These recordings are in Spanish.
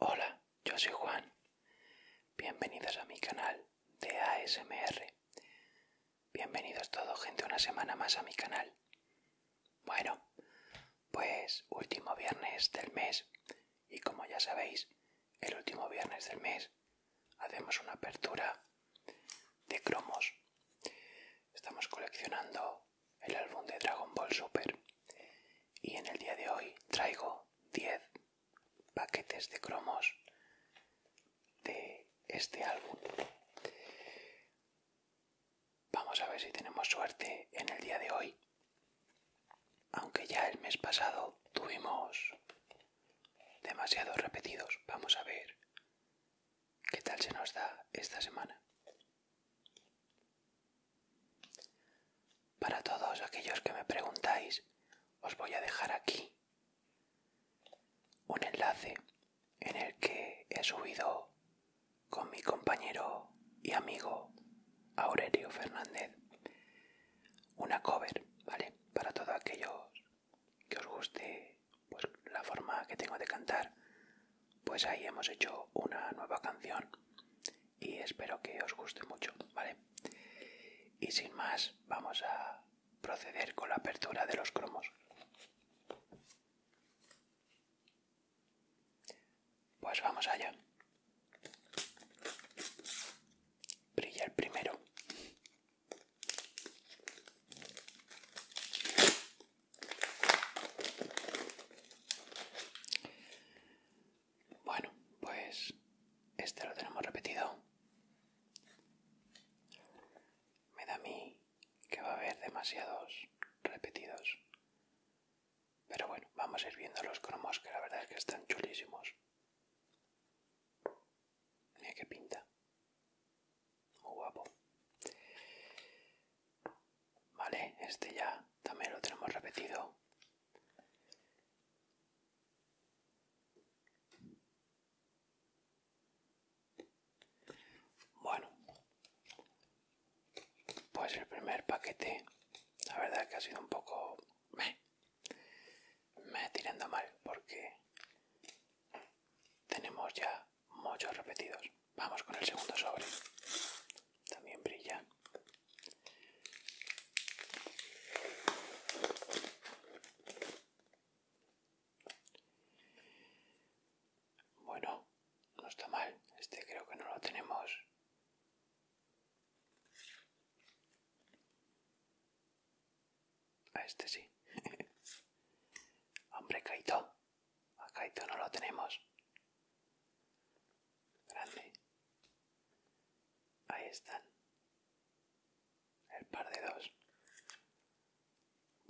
Hola, yo soy Juan. Bienvenidos a mi canal de ASMR. Bienvenidos todos, gente, una semana más a mi canal. Bueno, pues último viernes del mes y como ya sabéis, el último viernes del mes hacemos una apertura de cromos estamos coleccionando el álbum de Dragon Ball Super y en el día de hoy traigo 10 paquetes de cromos de este álbum. Vamos a ver si tenemos suerte en el día de hoy. Aunque ya el mes pasado tuvimos demasiados repetidos, vamos a ver ¿Qué tal se nos da esta semana? Para todos aquellos que me preguntáis, os voy a dejar aquí un enlace en el que he subido con mi compañero y amigo Aurelio Fernández una cover, ¿vale? Para todos aquellos que os guste pues, la forma que tengo de cantar, pues ahí hemos hecho una nueva canción y espero que os guste mucho, ¿vale? Y sin más, vamos a proceder con la apertura de los cromos. Pues vamos allá. Brilla el primero. Bueno, pues este lo tenemos repetido. Me da a mí que va a haber demasiados repetidos. Pero bueno, vamos a ir viendo los cromos que la verdad es que están chulísimos. Mira qué pinta. Muy guapo. Vale, este ya también lo tenemos repetido. Bueno, pues el primer paquete, la verdad que ha sido un poco me tirando mal porque tenemos ya muchos repetidos. Vamos con el segundo sobre. También brilla. Bueno, no está mal. Este creo que no lo tenemos. A este sí. Hombre, Kaito. A Kaito no lo tenemos. Grande. Ahí están. El par de dos.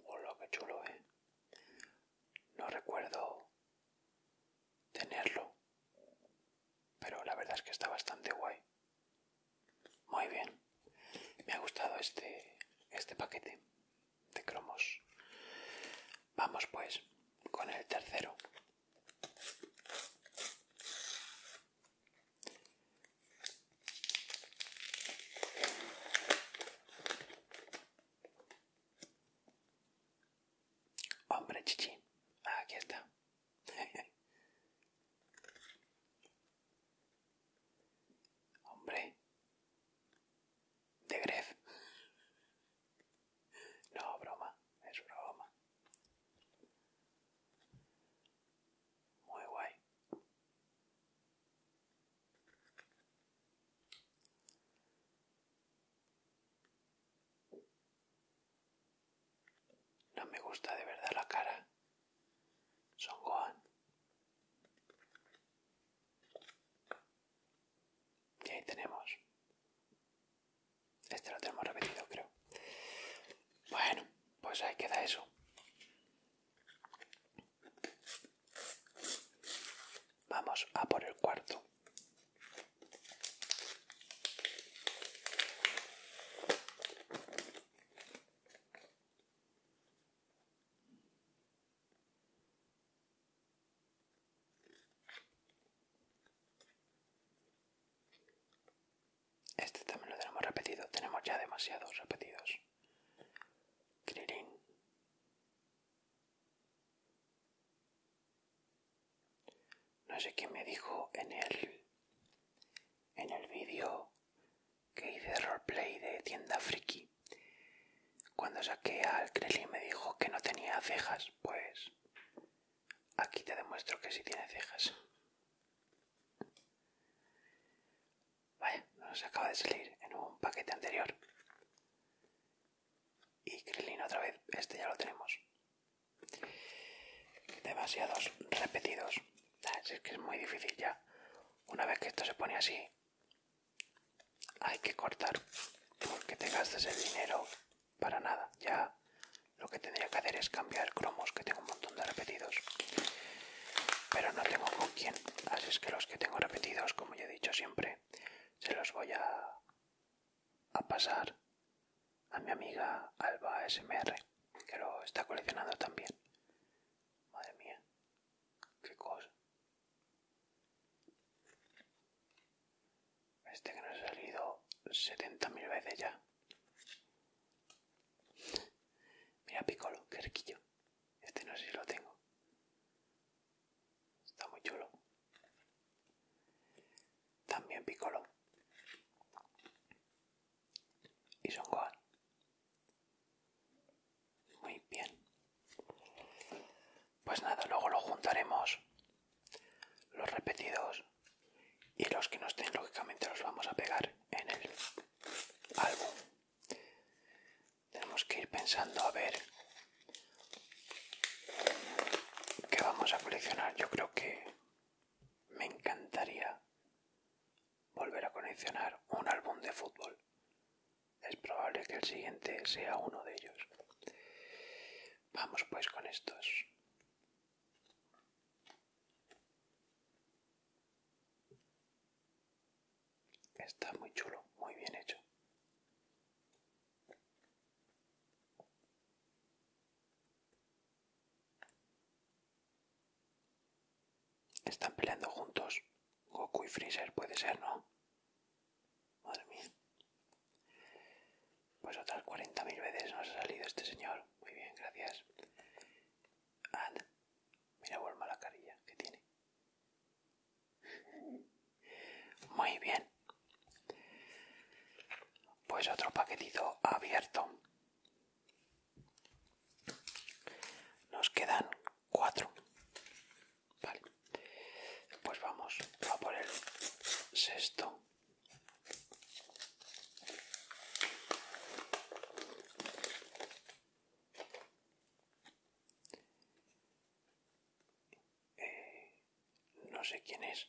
hola lo que chulo, eh. No recuerdo tenerlo. Pero la verdad es que está bastante guay. Muy bien. Me ha gustado este, este paquete de cromos. Vamos pues con el tercero. Hombre chichi, aquí está. Hombre. De Gref. No, broma, es broma. Muy guay. No me gusta de verdad la cara son Gohan. Y ahí tenemos. Este lo tenemos repetido, creo. Bueno, pues ahí queda eso. Vamos a por el cuarto. Este también lo tenemos repetido, tenemos ya demasiados repetidos. No sé quién me dijo en el en el vídeo que hice de roleplay de tienda friki. Cuando saqué al Krelin me dijo que no tenía cejas, pues aquí te demuestro que sí tiene cejas. Vaya, nos acaba de salir en un paquete anterior. Y Krelin otra vez, este ya lo tenemos. Demasiados repetidos. Es que es muy difícil ya. Una vez que esto se pone así, hay que cortar porque te gastas el dinero para nada. Ya lo que tendría que hacer es cambiar cromos, que tengo un montón de repetidos. Pero no tengo con quién. Así es que los que tengo repetidos, como ya he dicho siempre, se los voy a, a pasar a mi amiga Alba SMR, que lo está coleccionando también. Madre mía, qué cosa. Este que no ha salido 70.000 veces ya. Mira Piccolo, qué Este no sé si lo tengo. Está muy chulo. También Piccolo y Son Gohan. Muy bien. Pues nada, luego lo juntaremos. Los repetidos y los que no estén, lógicamente, los vamos a pegar en el álbum. Tenemos que ir pensando a ver qué vamos a coleccionar. Yo creo que me encantaría volver a coleccionar un álbum de fútbol. Es probable que el siguiente sea uno de ellos. Vamos pues con estos. Está muy chulo, muy bien hecho. Están peleando juntos. Goku y Freezer puede ser, ¿no? Madre mía. Pues otras 40.000 veces nos ha salido este señor. Muy bien, gracias. Mira, a la carilla que tiene. Muy bien. Pues otro paquetito abierto. Nos quedan cuatro. Vale. Pues vamos a por el sexto. Eh, no sé quién es.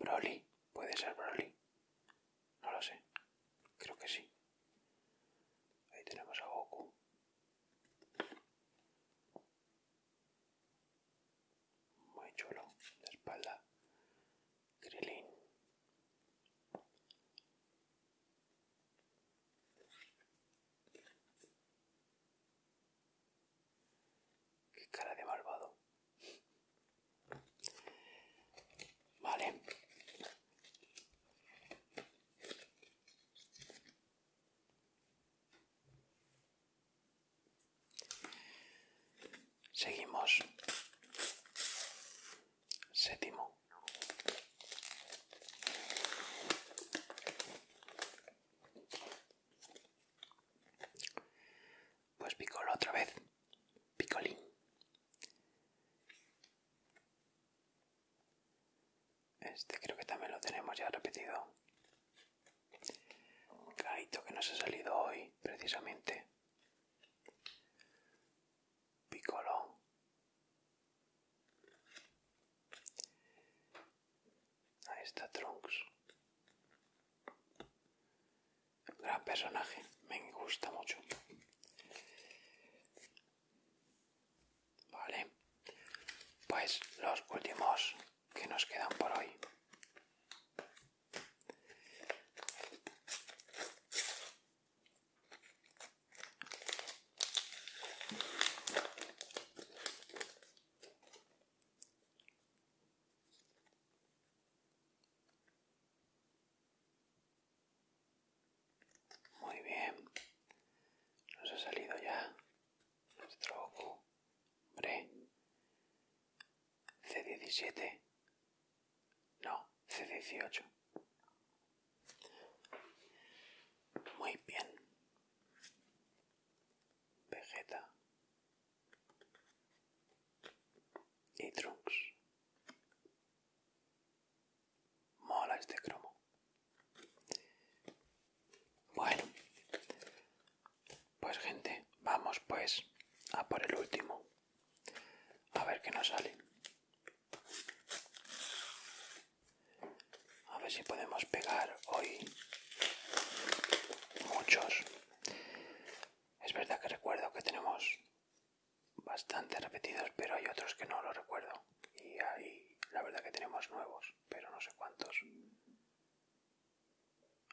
Broly, puede ser Broly. No lo sé. Creo que sí. Ahí tenemos a Goku. Muy chulo. De espalda. Krillin. Qué cara de malvado. Vale. Seguimos. Séptimo. Pues picolo otra vez. Picolín. Este creo que también lo tenemos ya repetido. gaito que nos ha salido hoy, precisamente. picolo Ahí está Trunks gran personaje, me gusta mucho. Vale, pues los últimos que nos quedan por hoy. Muy bien. Nos ha salido ya nuestro hombre. C17. No, C18. Muy bien. Vegeta y Trunks. Mola este cromo. Bueno, pues gente, vamos pues a por el último. A ver qué nos sale. A ver si podemos pegar hoy muchos. Es verdad que recuerdo que tenemos bastante repetidos, pero hay otros que no lo recuerdo. Y ahí la verdad que tenemos nuevos, pero no sé cuántos.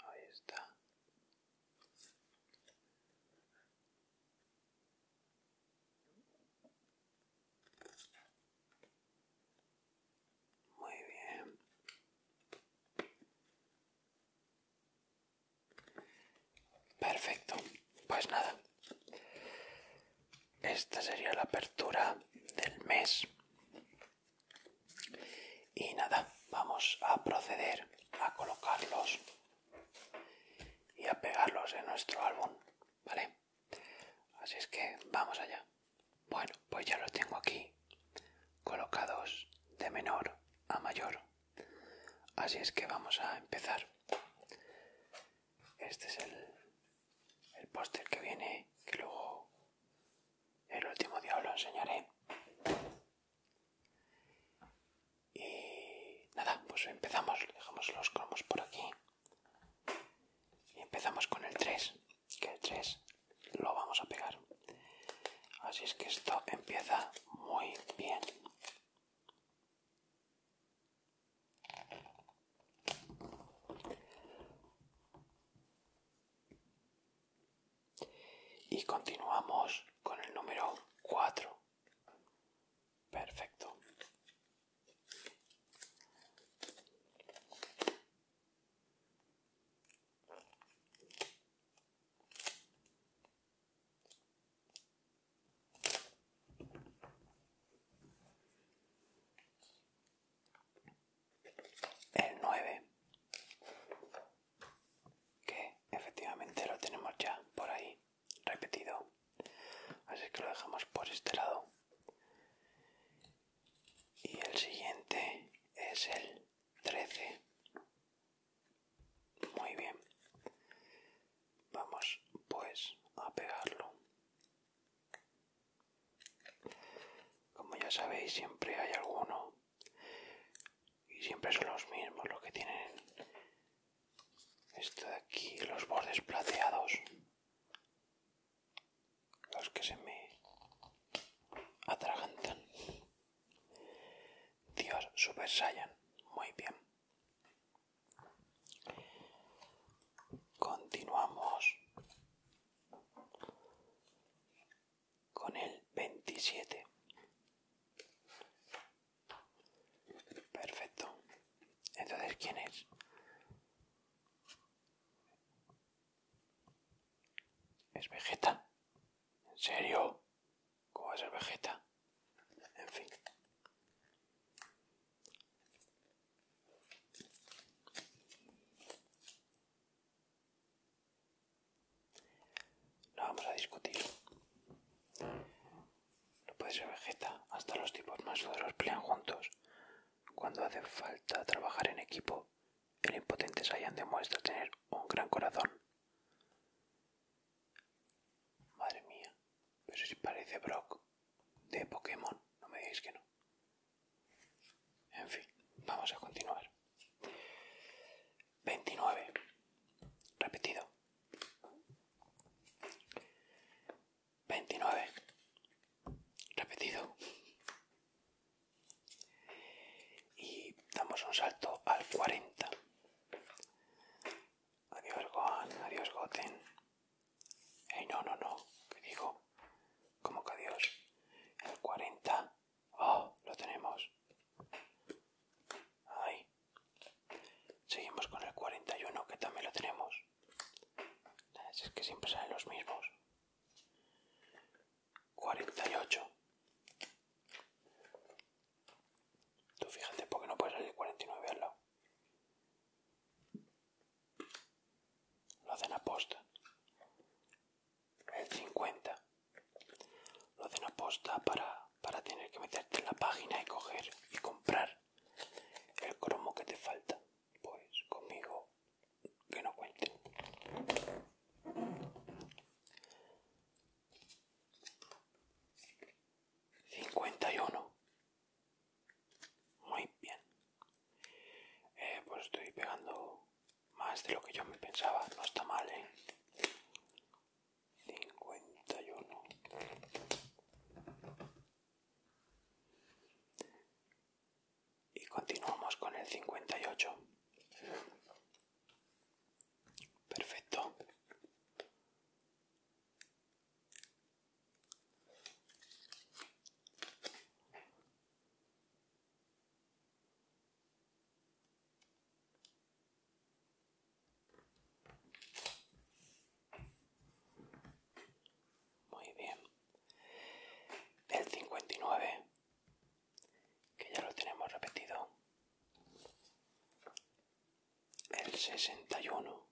Ahí está. Muy bien. Perfecto, pues nada. Esta sería la apertura del mes. Y nada, vamos a proceder a colocarlos y a pegarlos en nuestro álbum, ¿vale? Así es que vamos allá. Bueno, pues ya lo tengo aquí, colocados de menor a mayor. Así es que vamos a empezar. Este es el, póster que viene, que luego el último día lo enseñaré. Y nada, pues empezamos. Dejamos los cromos por aquí. Y empezamos con el 3, que el 3 lo vamos a pegar así es que esto empieza muy bien y continuamos con el número 4 perfecto el 9, que efectivamente lo tenemos ya por ahí, repetido. Así que lo dejamos por este lado. Y el siguiente es el 13. Muy bien. Vamos pues a pegarlo. Como ya sabéis, siempre hay alguno. Y siempre son los mismos los que tienen esto de aquí, los bordes plateados. Los que se me atragantan. Dios Super Saiyan. Muy bien. Continuamos con el 27. Perfecto. Entonces, ¿quién es? ¿Es Vegeta? ¿En serio? ¿Cómo es a Vegeta? En fin. No vamos a discutir. No puede ser Vegeta. Hasta los tipos más duros pelean juntos. Cuando hace falta trabajar en equipo, el impotente Saiyan demuestra tener un gran corazón. Madre mía, pero si parece Brock de Pokémon, no me digáis que no. En fin, vamos a continuar. 29. Repetido. 29. Repetido y damos un salto al 40 adiós Gohan, adiós Goten no, no, no, ¿qué digo como que adiós el 40 oh, lo tenemos seguimos con el 41 que también lo tenemos es que siempre salen los mismos 48. Tú fíjate porque no puedes salir 49 al lado. Lo hacen aposta. El 50. Lo hacen aposta para, para tener que meterte en la página y coger y comprar el cromo que te falta. Pues conmigo que no cuente. 51 muy bien eh, pues estoy pegando más de lo que yo me pensaba no está mal ¿eh? 51 y continuamos con el 58 perfecto muy bien el 59 que ya lo tenemos repetido el 61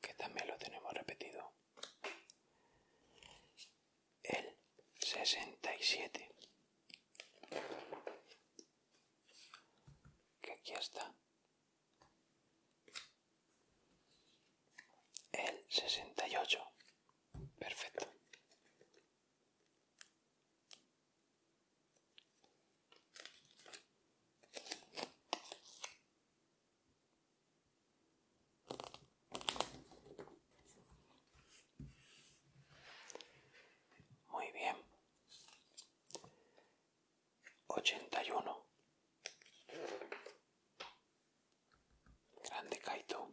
que también lo tenemos repetido el 67 que aquí está el 68 perfecto muy bien. 81 Grande Kaito.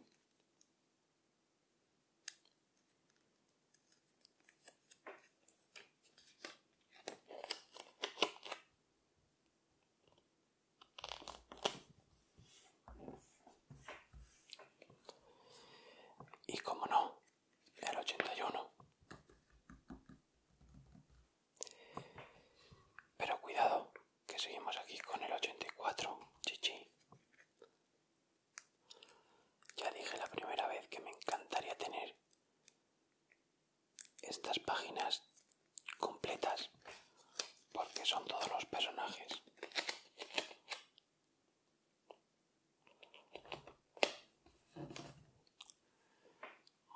Y como no, el 81. Pero cuidado, que seguimos aquí con el 84, chichi. Ya dije la primera vez que me encantaría tener estas páginas completas porque son todos los personajes.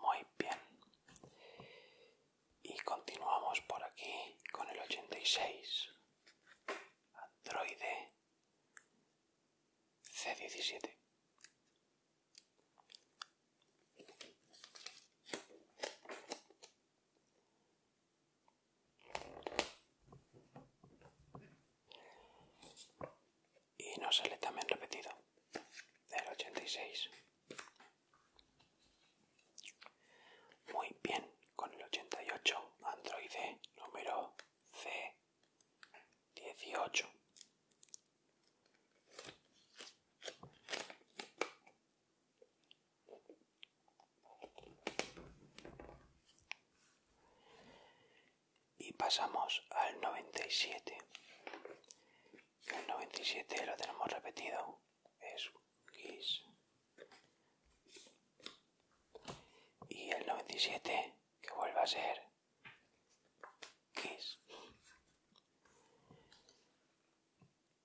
Muy bien. Y continuamos por aquí con el 86 androide C17. Y nos sale también repetido del 86. Muy bien, con el 88, Android e, número C18. Y pasamos al 97. El 97 lo tenemos repetido. Es y el noventa 97, que vuelva a ser Kiss.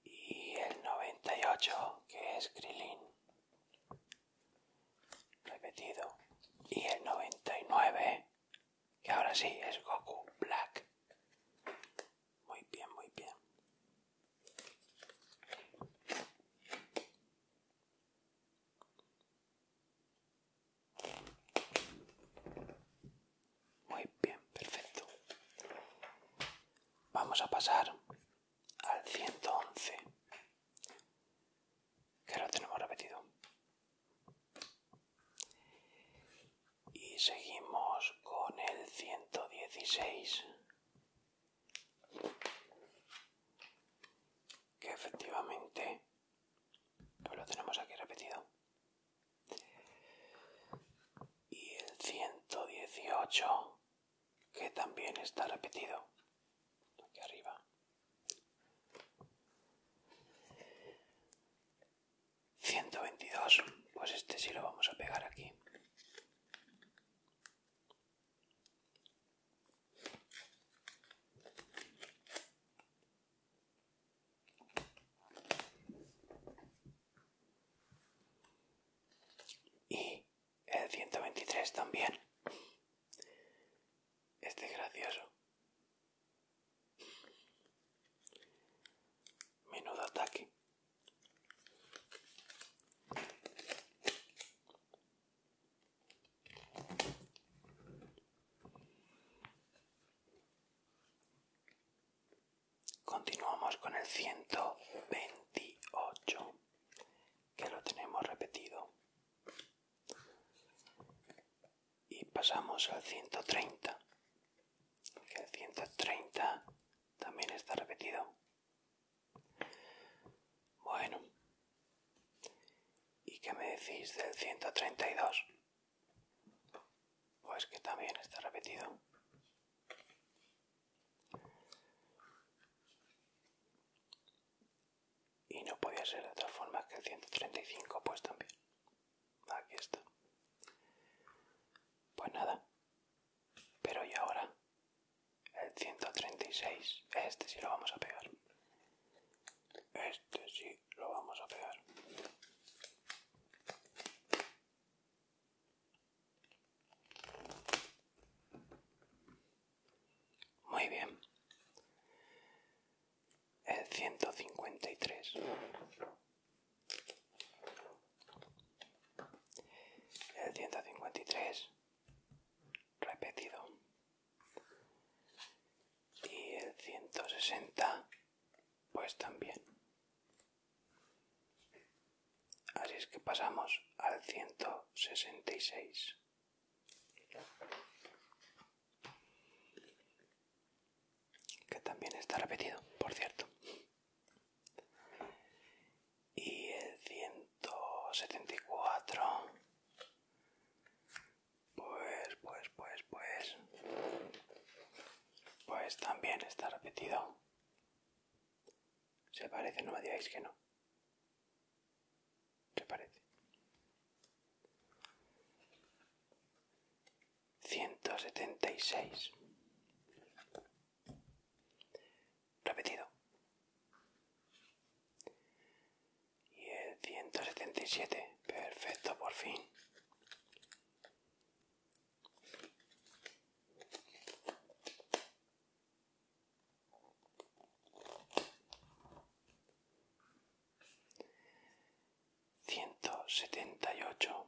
Y el noventa y ocho que es Krillin. Repetido. Y el noventa y nueve que ahora sí es Goku Black. Muy bien, muy bien. Muy bien, perfecto. Vamos a pasar al 111, que lo tenemos repetido. Y seguimos con el 116 que efectivamente pues lo tenemos aquí repetido y el 118 que también está repetido aquí arriba 122 pues este sí lo vamos a pegar aquí y el 123 también. Este es gracioso. Menudo ataque. Continuamos con el 128, que lo tenemos repetido. Y pasamos al 130, que el 130 también está repetido. Bueno. ¿Y qué me decís del 132? Pues que también está repetido. Y no podía ser de otra forma que el 135, pues también. Aquí está. Pues nada. Pero ¿y ahora? El 136. Este sí lo vamos a pegar. Este sí lo vamos a pegar. Muy bien. El 153. El 153 repetido. Y el 160 pues también. Así es que pasamos al 166. Que también está repetido, por cierto y el 174 pues pues pues pues pues también está repetido se parece no me digáis que no se parece 176 Repetido. Y el ciento y siete Perfecto, por fin. Ciento setenta y ocho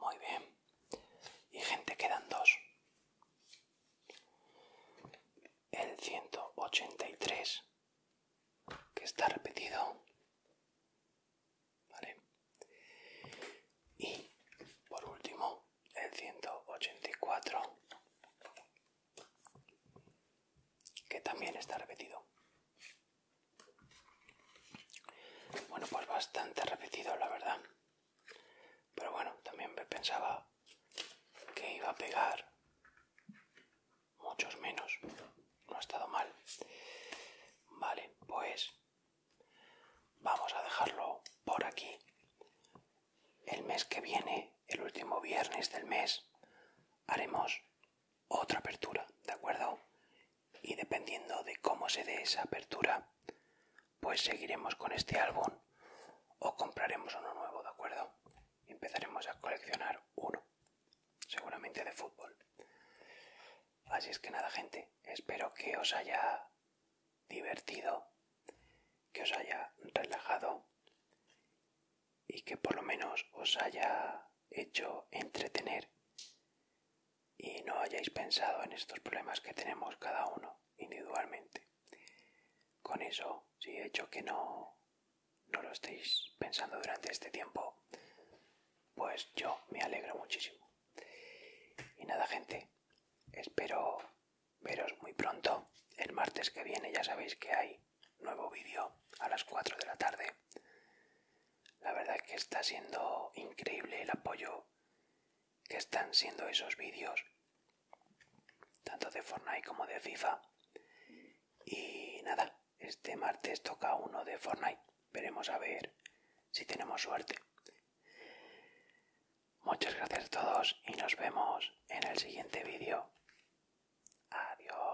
Muy bien. Y gente, quedan dos. El 183, que está repetido. Y por último, el 184, que también está repetido. Bueno, pues bastante repetido, la verdad. Pero bueno, también pensaba que iba a pegar muchos menos. No ha estado mal. Vale, pues vamos a dejarlo por aquí. El mes que viene, el último viernes del mes, haremos otra apertura, ¿de acuerdo? y dependiendo de cómo se dé esa apertura, pues seguiremos con este álbum o compraremos uno nuevo, ¿de acuerdo? empezaremos a coleccionar uno, seguramente de fútbol. Así es que nada, gente, espero que os haya divertido, que os haya relajado y que por lo menos os haya hecho entretener y no hayáis pensado en estos problemas que tenemos cada uno individualmente. Con eso, si he hecho que no, no lo estéis pensando durante este tiempo, pues yo me alegro muchísimo. Y nada, gente, espero veros muy pronto. El martes que viene ya sabéis que hay nuevo vídeo a las 4 de la tarde. La verdad es que está siendo increíble el apoyo que están siendo esos vídeos, tanto de Fortnite como de FIFA. Y nada, este martes toca uno de Fortnite. Veremos a ver si tenemos suerte. Muchas gracias a todos y nos vemos en el siguiente vídeo. Adiós.